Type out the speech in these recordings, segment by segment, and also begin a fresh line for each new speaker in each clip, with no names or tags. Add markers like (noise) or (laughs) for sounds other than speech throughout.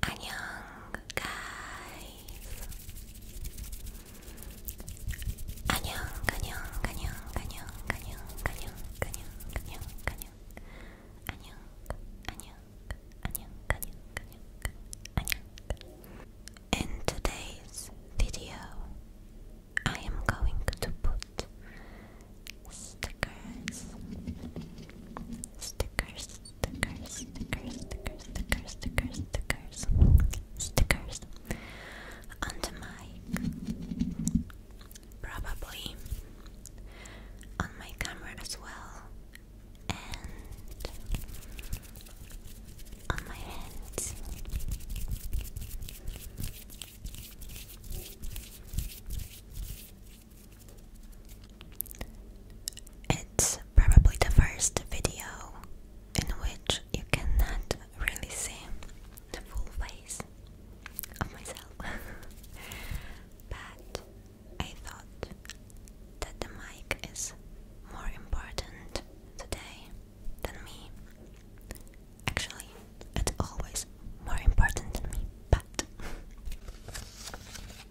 안녕, guys. 안녕, 안녕, 안녕, 안녕, 안녕, 안녕, 안녕, 안녕, 안녕. 안녕, 안녕, 안녕, 안녕, 안녕, 안녕. In today's video, I am going to put stickers, stickers, stickers, stickers, stickers, stickers, stickers, stickers, stickers on the probably on my camera as well, and on my hands. It's probably the first video in which you cannot really see the full face of myself. (laughs) but I thought that the mic is more important today than me. Actually, it's always more important than me, but (laughs)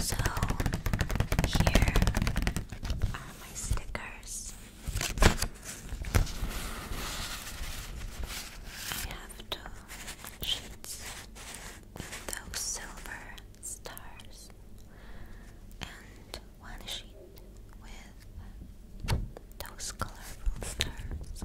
So here are my stickers. I have two sheets with those silver stars and one sheet with those colorful stars.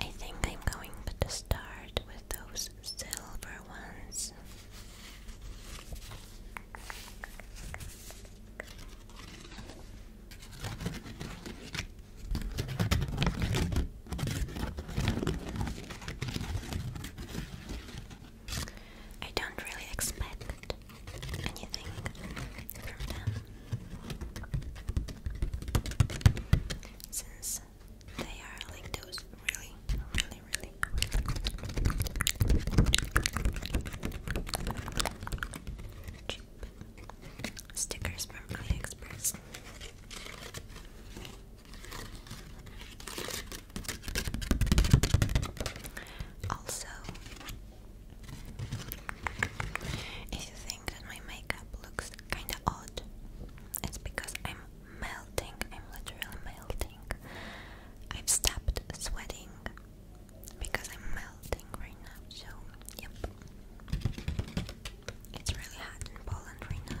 I think I'm going to start with those silver ones. I don't really expect anything from them since they are like those really, really, really cheap stickers from AliExpress. Also, if you think that my makeup looks kinda odd, it's because I'm melting, I'm literally melting. I've stopped sweating because I'm melting right now, so yep. It's really hot in Poland right now.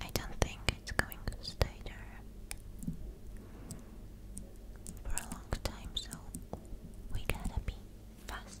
I don't think it's going to stay there for a long time, so we gotta be fast.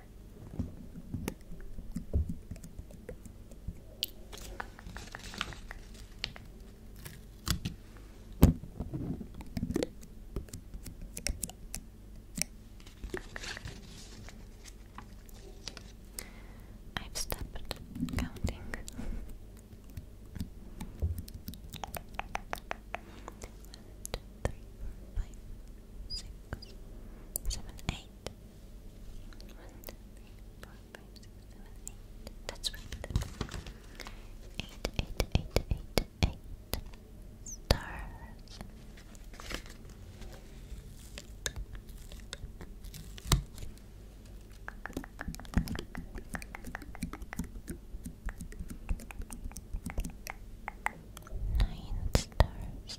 I've stopped counting. One, two, three, four, five, six, seven, eight. That's right. Eight, eight, eight, eight, eight stars. Nine stars.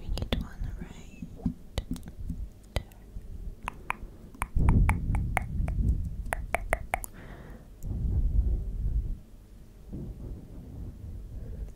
We need one right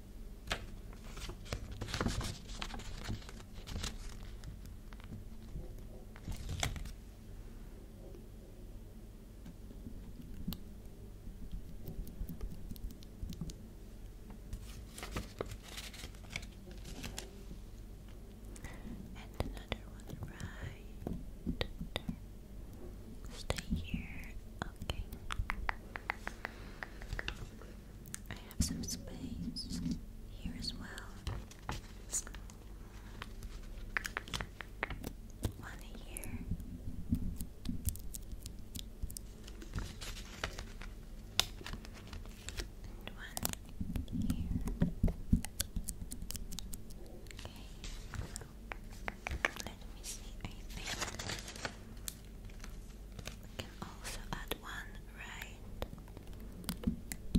And another one right. Stay here. Okay. I have some space here as well. One here. And one here. Okay. Let me see. I think we can also add one right there.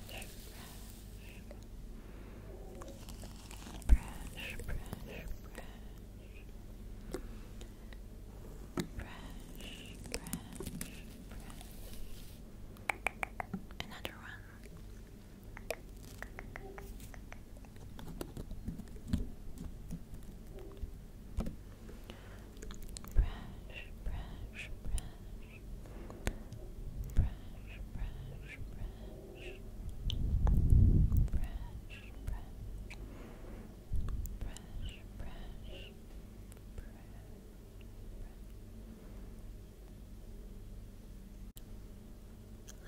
brush, brush, brush. Brush, brush, brush. Another one brush, brush, brush, brush, brush, brush, brush, brush. Brush, brush, brush.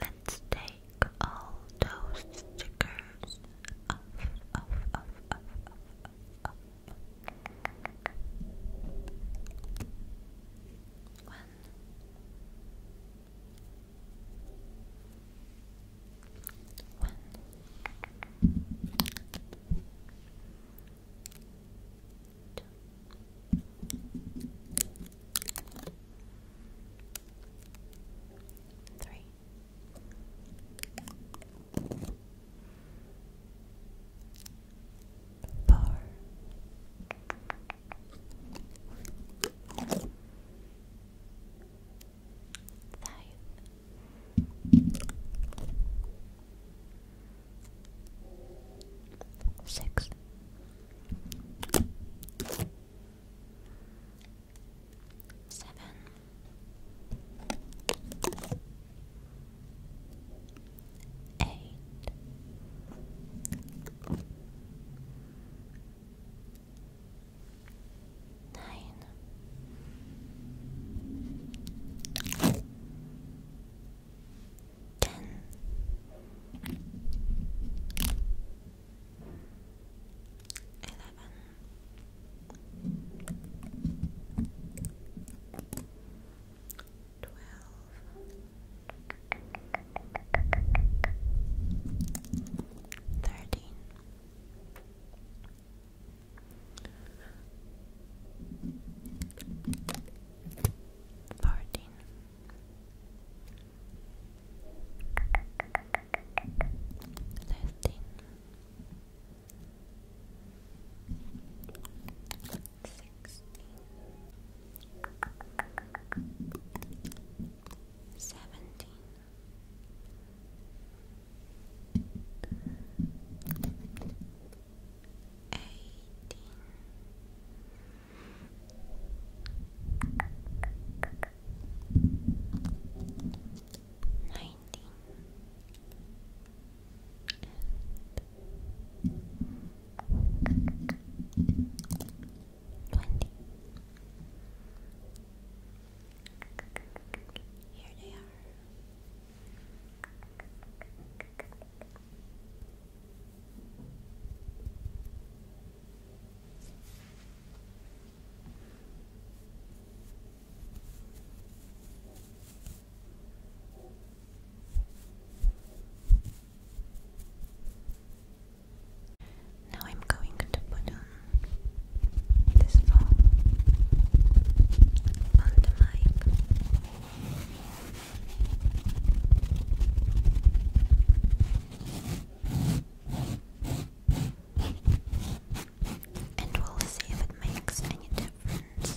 Let's take all those stickers off, off, off, off, off, up. One. One. Two. Three. Four four, five. Six, seven, eight, nine, twelve, thirteen. Fourteen, fifteen, sixteen, seventeen, eighteen. Nineteen, and twenty. Here they are. Thank now I'm going to put on this phone on the mic. And we'll see if it makes any difference.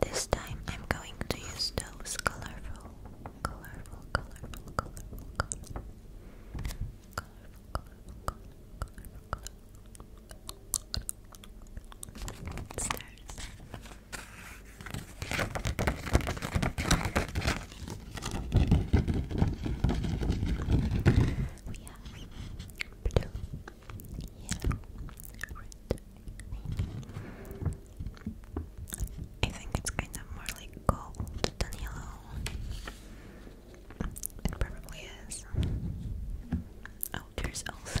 This time I'm going to use those colorful, colorful, colorful, colorful, colorful, colorful, colorful, colorful, colorful, colorful stars. We have blue, yellow, red, I think it's kind of more like gold than yellow. It probably is. Oh, there's also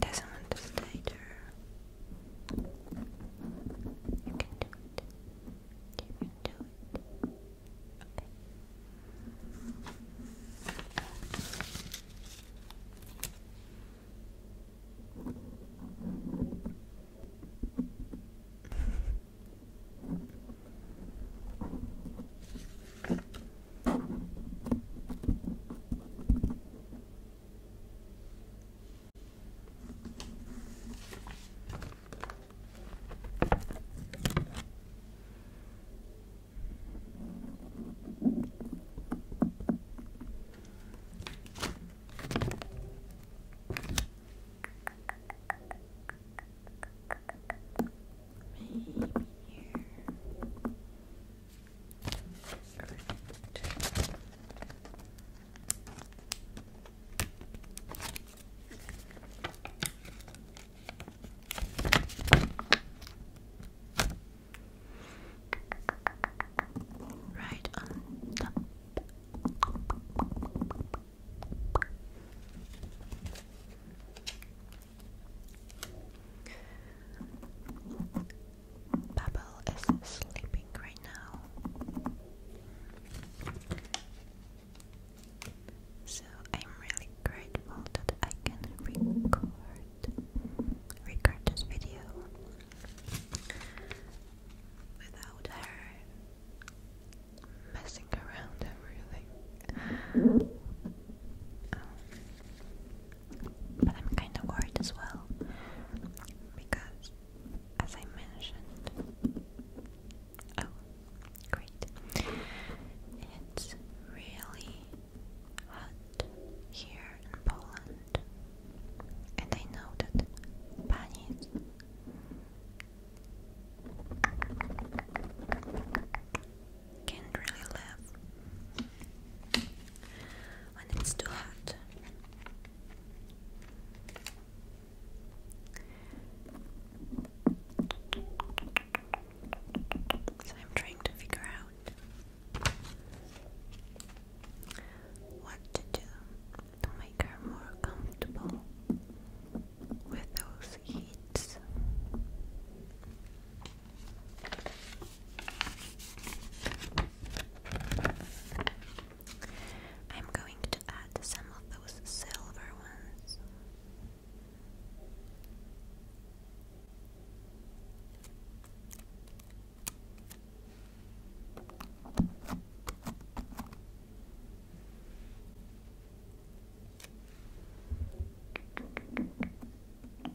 Doesn't understand her. You can do it. You can do it. Okay. Maybe here. Perfect. Right on Bubble is sleeping right now. So I'm really grateful that I can record record this video without her messing around everything. Um, but I'm kind of worried as well because, as I mentioned, oh, great, it's really hot here in Poland, and I know that bunnies can't really live when it's too hot. So I'm trying to figure out what to do to make her more comfortable with those heats. I'm going to add some of those silver ones.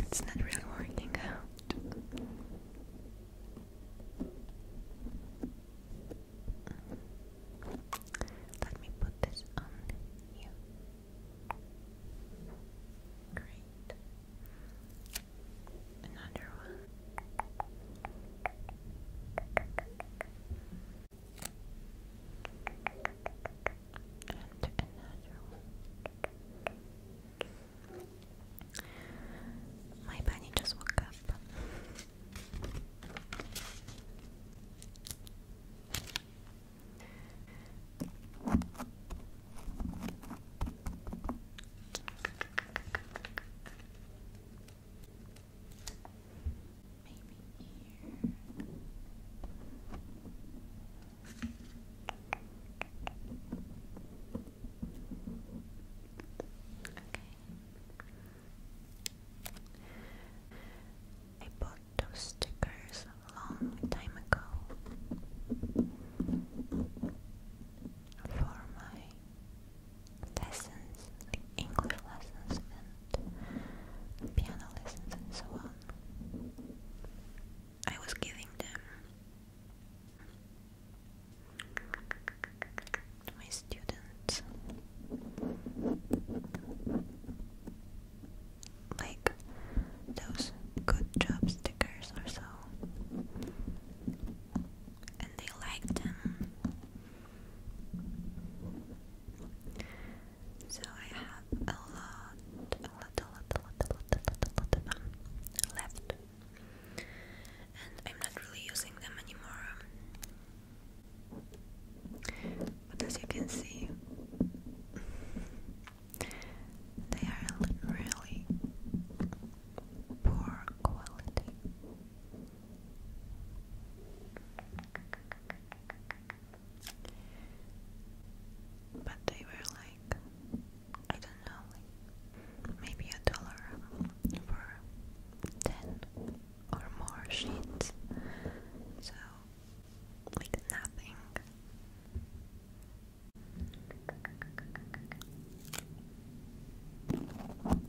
It's not really working out. Let me put this on you. Great. Another one. And another My bunny just woke up. Maybe here. I bought those stickers a long time ago for my lessons, English lessons and piano lessons and so on. I was giving them to my students. Like those good job stickers or so, and they liked them. So I have a lot, a lot, a lot, a lot, a lot, a lot, a lot of them left, and I'm not really using them anymore. But as you can see, they are really poor quality. But they were like, I don't know, maybe a dollar for 10 or more sheets. So, like nothing. Then another one right there.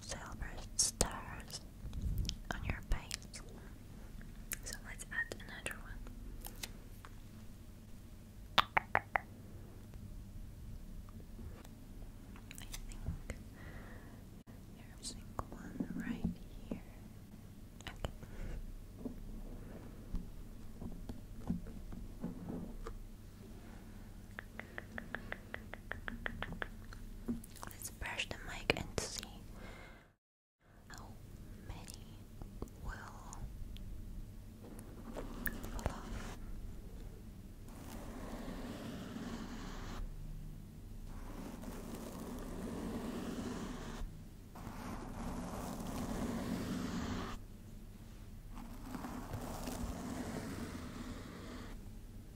silver stars on your face. So let's add another one. I think there's a one right here. Okay. Let's brush the mic and see how many will fall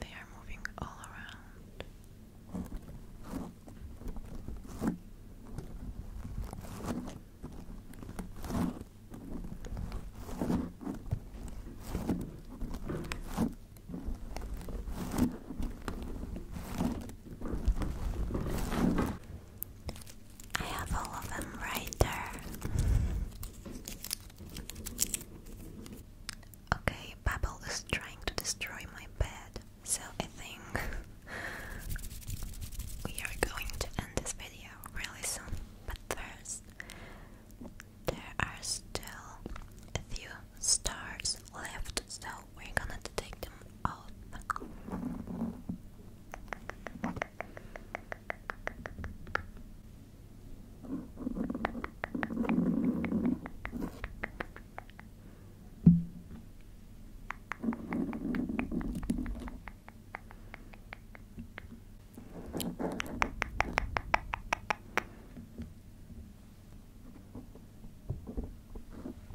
They are moving all around. I have all of them right there. Okay, Babel is trying to destroy my bed, so I think (laughs) we are going to end this video really soon. But first, there are still a few stars left, so we're gonna take them out.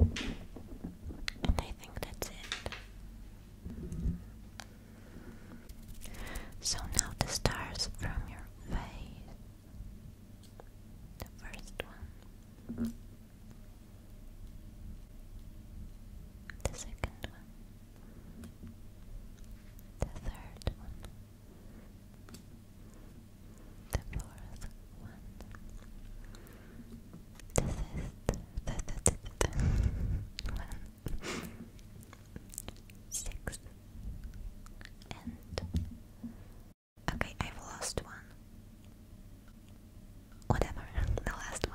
I think that's it. So now the stars from your face. The first one. The second one. The third one the fourth one. This is the, the, the, and okay, I've lost one. Whatever, the last one.